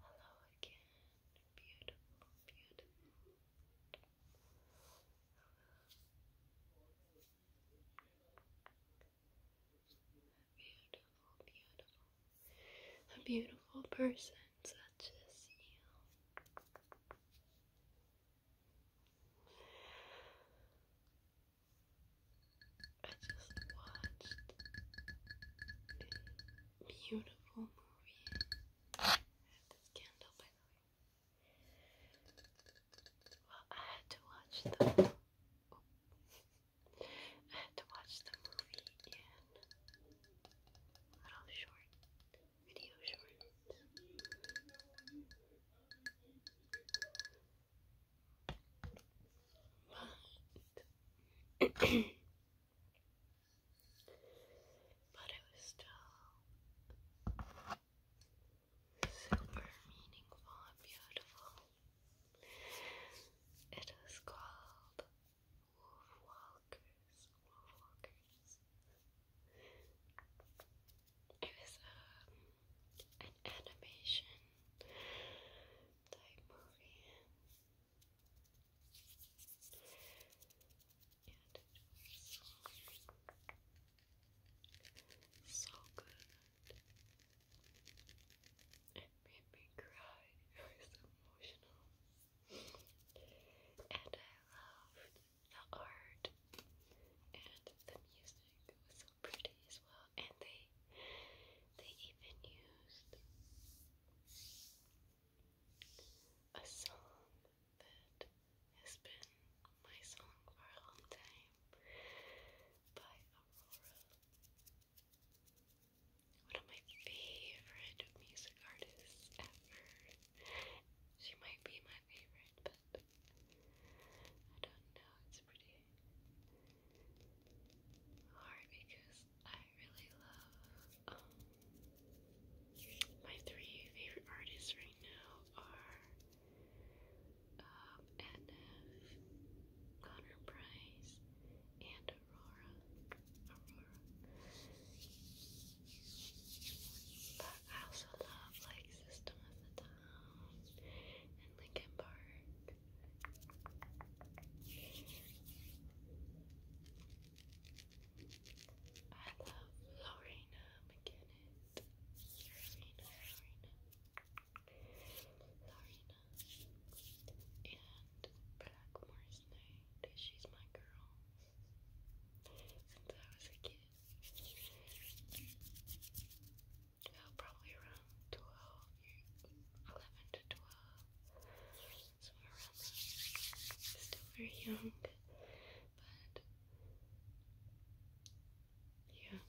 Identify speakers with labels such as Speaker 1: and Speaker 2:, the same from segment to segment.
Speaker 1: Hello again, beautiful, beautiful. beautiful, beautiful. A beautiful person such as you. I just watched a beautiful movie. I had this candle, by the Well, I had to watch the. I had to watch the movie in little short video shorts but but it was still super meaningful beautiful. It was called Wolf Walkers. It was um, an animation diaper in. And so, good. It made me cry. It was emotional. And I loved the art and the music pretty as well, and they they even used a song that has been my song for a long time by Aurora. One of my favorite music artists ever. She might be my favorite, but I don't know. It's pretty hard because I really love um, my three favorite artists right now are um Connor Price, and Aurora. Aurora. But I also love like System of the Down and Linkin Park. I love Lorena McKinnon. Lorena, Lorena. Lorena. And Blackmore's Night. She's my girl. Since I was a kid probably around 12, to 12, somewhere around there. Still very young, but yeah.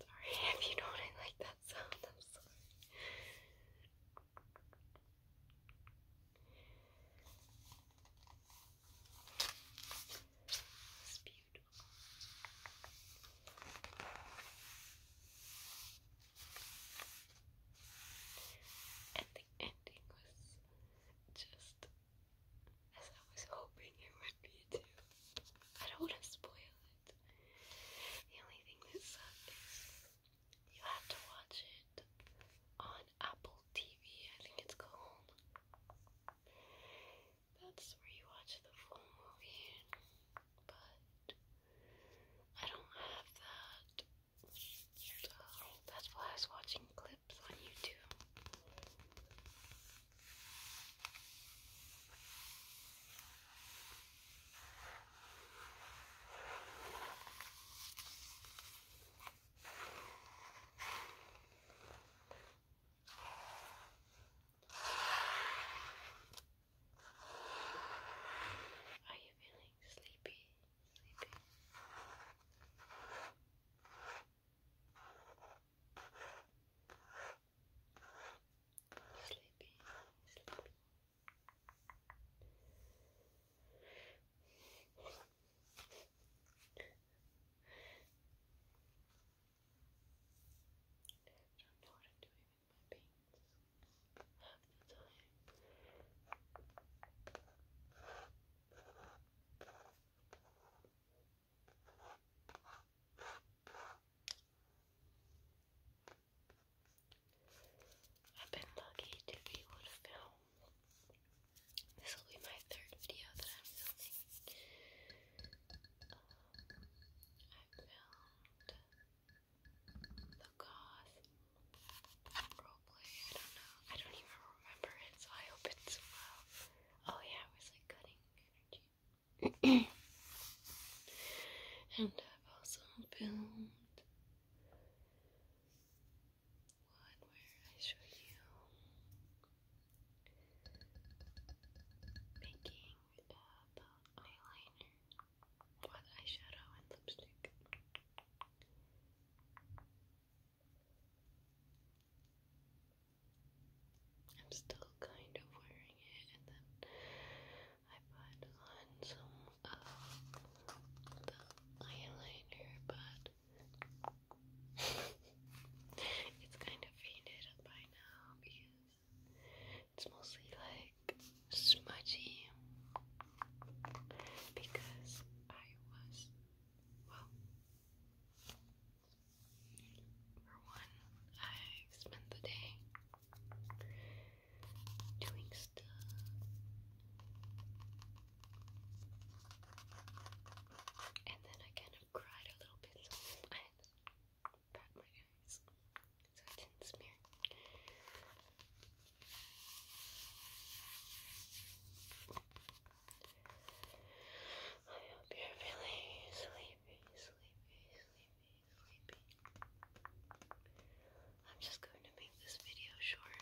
Speaker 1: Sorry if you do I like that sound, I'm sorry. It's beautiful. And the ending was just as I was hoping it would be too. I don't want to spoil it. The only thing that sucks is you have to watch it on Apple TV, I think it's called. That's where you watch the full movie, but I don't have that. So that's why I was watching clips on YouTube. Are you feeling sleepy? Sleepy? Sleepy, sleepy don't know what I'm doing with my paints half the time. I've been lucky to be able to film this will be my third video that I'm filming. Um, I filmed the goth roleplay. I don't know. I don't even remember it, so I hope it's well. Oh yeah, it was like cutting energy. and I've also filmed one where I show you making uh, eyeliner with eyeshadow and lipstick. I'm still kind of wearing it, and then I put on some of the eyeliner, but it's kind of faded up by now because it's mostly like smudgy because I was well for one I spent the day doing stuff and then I kind of cried a little bit, I pat my eyes so it didn't smear. I hope you're really sleepy, sleepy, sleepy, sleepy. I'm just going to make this video short.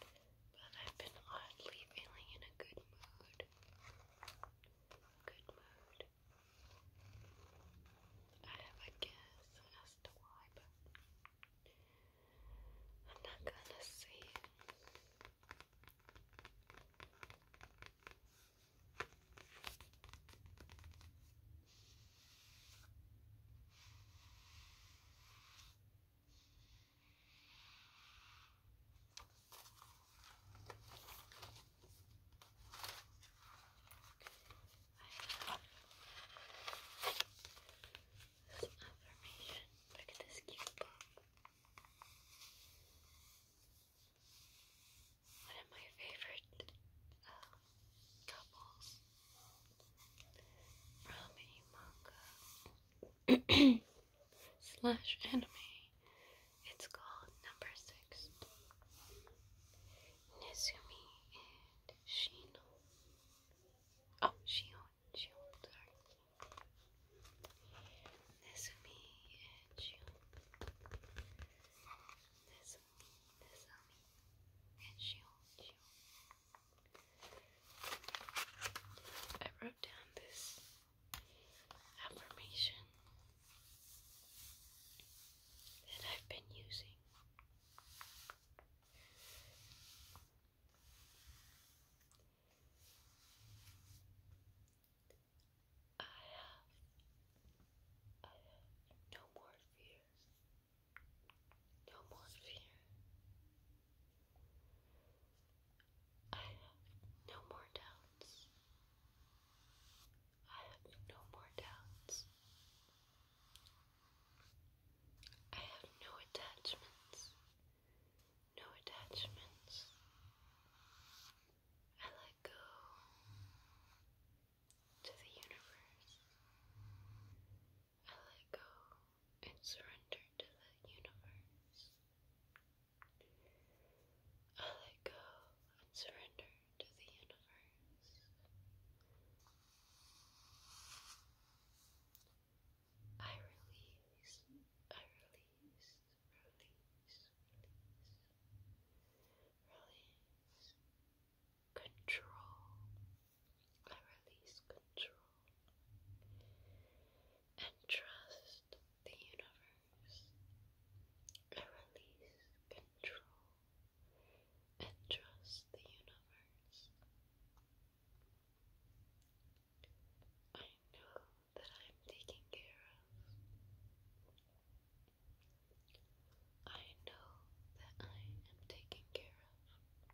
Speaker 1: But I've been oddly feeling in a good mood. Good mood. I have a guess as to why, but I'm not gonna say it. This affirmation. Look at this cute book one of my favorite um, couples from a manga slash anime. It's called Number Six. Nezumi and Shino. Oh, Shion, Shion, sorry. Nezumi and Shion. Nezumi Desami and Shion I wrote down this affirmation that I've been using. I have I have no more fears. No more fear. I have no more doubts. I have no more doubts. I have no attachments. No attachments. I let go to the universe. I let go and surrender to the universe. I let go and surrender to the universe. I release, I release, release, release release control. I release control and trust the universe. I release control and trust the universe. I know that I am taken care of. I know that I am taken care of.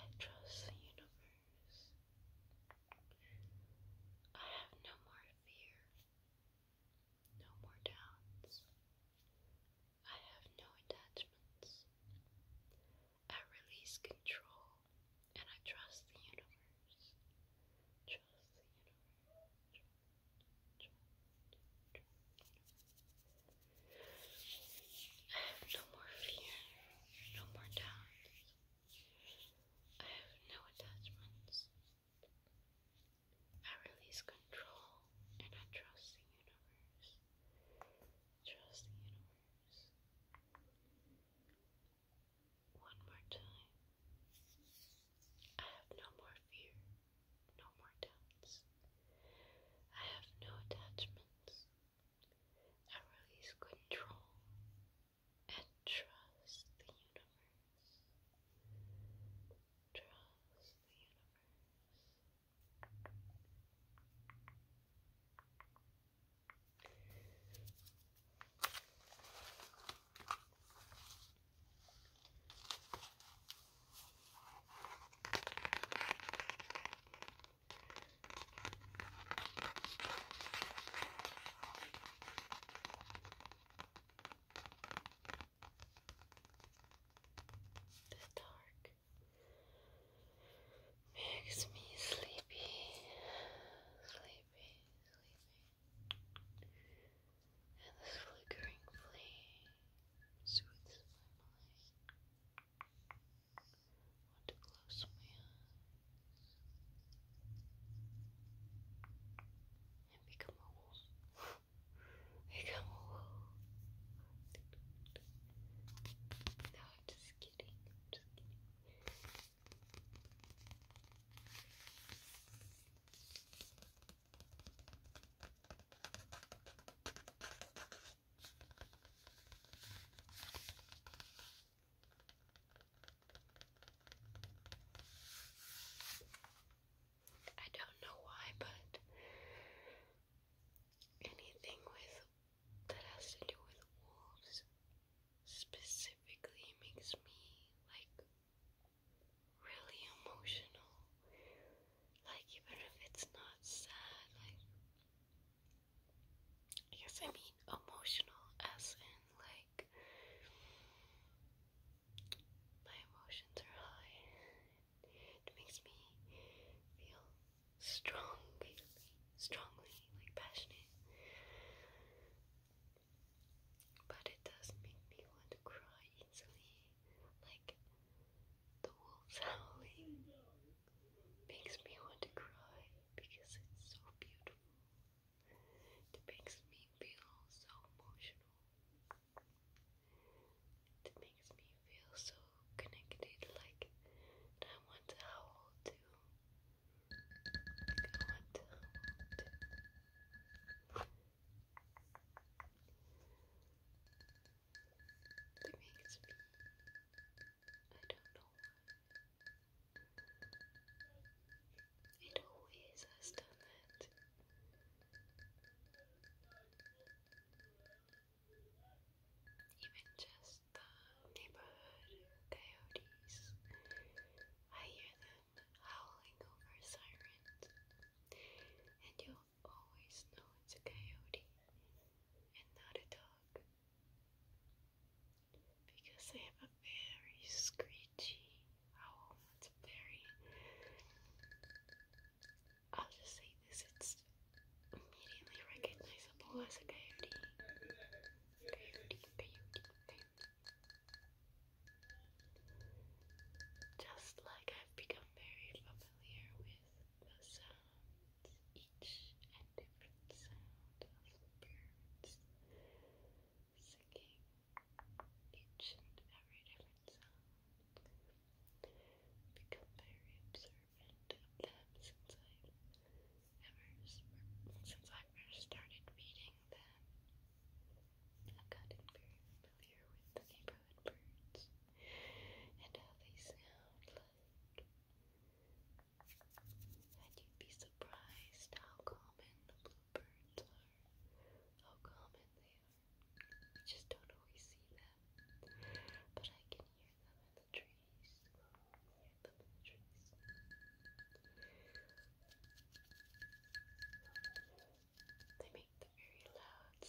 Speaker 1: I trust the universe. I have no more fear, no more doubts. I have no attachments. I release control and I trust the universe. Trust the universe. I have no more fear, no more doubts. I have no attachments. I release control and I trust the universe. Trust the universe. One more time. I have no more fear, no more doubts. I have no attachments. I release control and trust the universe. Trust the universe. The dark Makes me sleepy, sleepy, sleepy. And this flickering flame soothes my mind. want to close my eyes and become a wolf. I come along. No, I'm just kidding. I'm just kidding. just kidding i do not know why, but anything with that has to do with wolves specifically makes me like really emotional. Like even if it's not sad, like yes, I mean emotional as in like my emotions are high it makes me feel strong, strongly, like passionate. But it does make me want to cry easily. Like the wolves howling makes me want to cry because it's so beautiful. It makes me feel so emotional. It makes me feel so connected, like I want to howl too. I don't know why. It always has that even just the neighborhood coyotes. I hear them howling over sirens, and you'll always know it's a coyote and not a dog because they have a very screechy owl. It's very I'll just say this, it's immediately recognizable as a coyote. Coyote, coyote, coyote. Just like I've become very familiar with the sounds, each and different sound of birds singing, each and every different sound become very observant of them since I've ever since I first started reading them. I've gotten very familiar with the neighborhood birds and how they sound like. And you'd be surprised how common the bluebirds are, how common they we just don't always see them. But I can hear them in the trees. Hear them in the trees. They make the very loud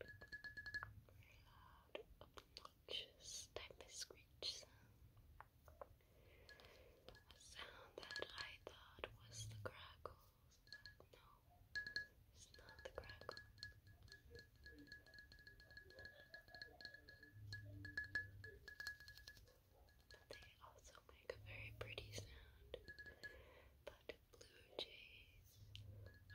Speaker 1: Very loud, obnoxious type of screech sound. A sound that I thought was the crackle it's not the crackle. But they also make a very pretty sound. But blue jays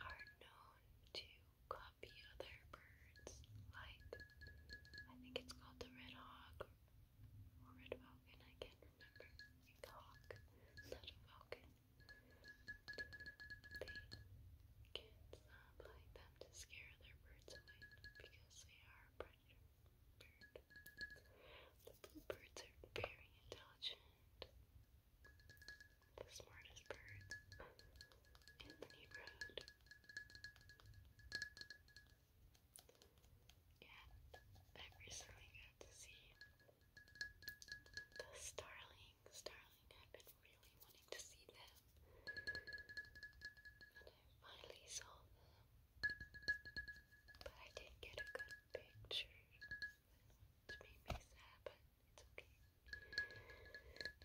Speaker 1: are known to copy other birds, like I think it's called the red hawk or red falcon. I can't remember. It's hawk, not falcon. They can't like them to scare their birds away because they are a predator bird. The bluebirds are very intelligent, the smartest birds in the neighborhood. And I recently got to see the Starling, Starling, I've been really wanting to see them. And I finally saw them. But I didn't get a good picture, which made me sad, it's okay. It's okay.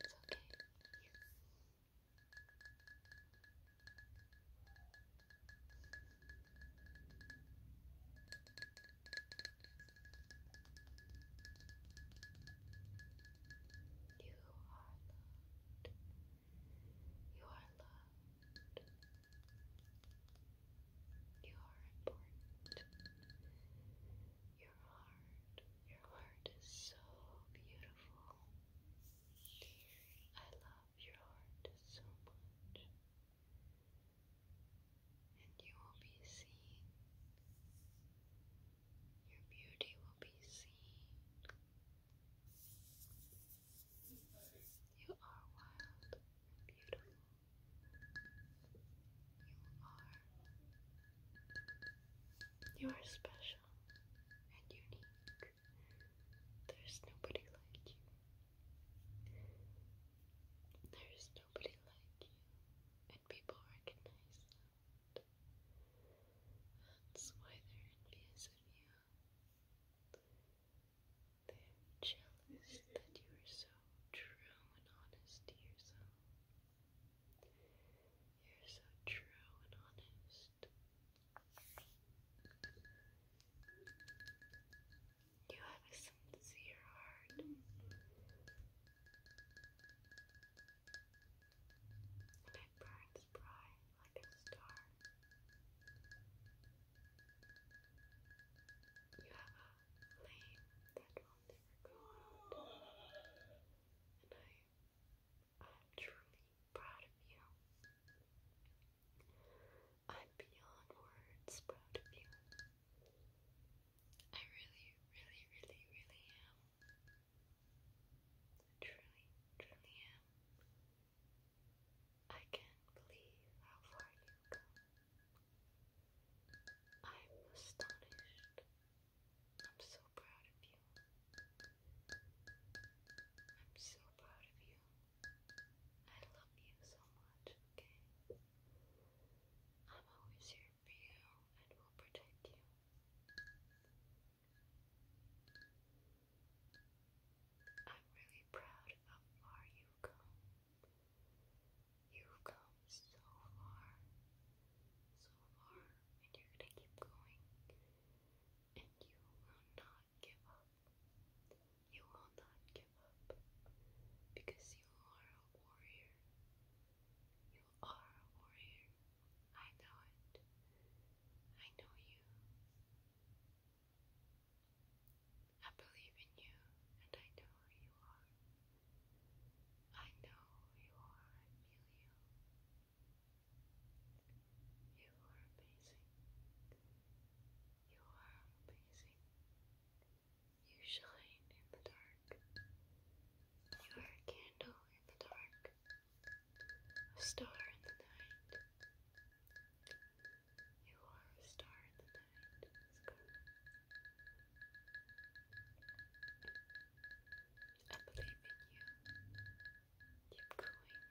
Speaker 1: You are loved. You are loved. You are important. Your heart, your heart is so beautiful. I love your heart so much and you will be seen. Your beauty will be seen. You are wild and beautiful. You are. You are special and unique. There's nobody like you. There's nobody like you, and people recognize that. That's why they're envious of you. They're jealous that you are so true and honest to yourself. You're so true and honest. You have a sincere heart. And it burns bright like a star. You have a flame that will never go out. And I I'm truly proud of you. I'm beyond words proud of you. I really, really, really, really am. truly, truly am. I can't believe how far you've come. I'm astonished. I'm so proud of you. I'm so proud of you. I love you so much, okay? I'm always here for you and will protect you. I'm really proud of how you've You've come so far, so far, and you're gonna keep going, and you will not not give up. You will not give up because you are a warrior. You are a warrior. I know it. I know you. I believe in you and I know who you are. I know who you are. I feel you. You are amazing. You are amazing. You shine in the dark. You are a candle in the dark, a star in the night. You are a star in the night. I believe in you. Keep going.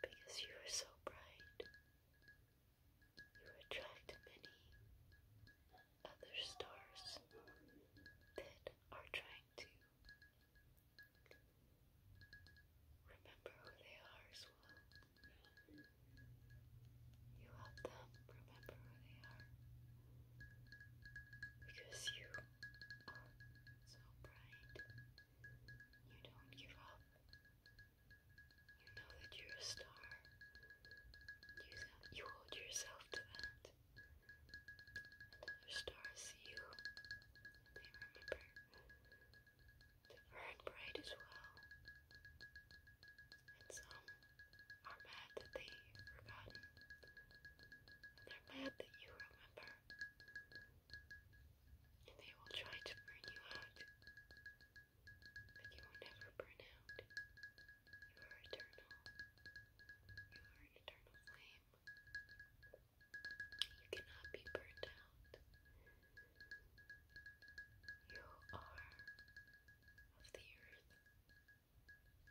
Speaker 1: Because you were so bright, you attract many other stars that are trying to remember who they are as well. You help them remember who they are because you are so bright. You don't give up. You know that you're a star. You, you hold yourself to that. other stars see you, they remember to burn bright as well. And some are mad that they've forgotten they're mad that you remember. And they will try to burn you out. But you will never burn out. You are eternal. You are an eternal flame. You cannot be burned out. You are of the earth.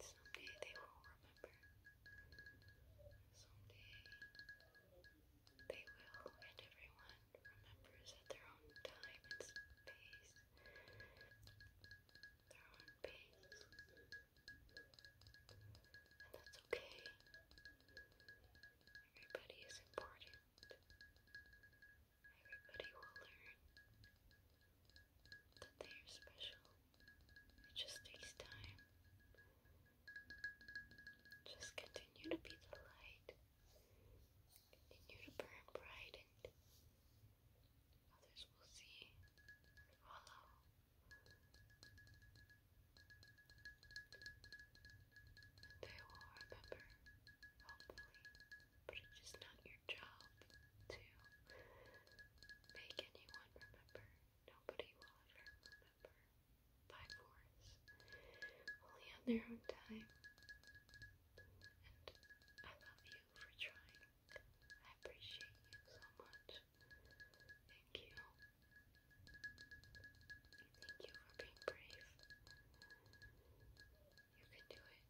Speaker 1: Someday they will remember. Someday they will, and everyone remembers at their own time and space. Their own pace. And that's okay. Everybody is important. Everybody will learn that they are special. It just takes time. Just continue to be the light. Continue to burn bright and others will see follow. And they will remember, hopefully, but it's just not your job to make anyone remember. Nobody will ever remember by force, only on their own time. And I love you for trying. I appreciate you so much. Thank you. Thank you for being brave. You can do it.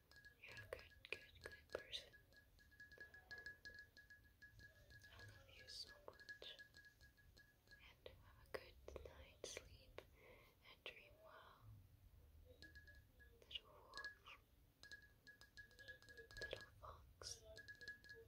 Speaker 1: You're a good, good, good person. I love you so much. And have a good night's sleep and dream well. Little wolf. Little fox. I love you.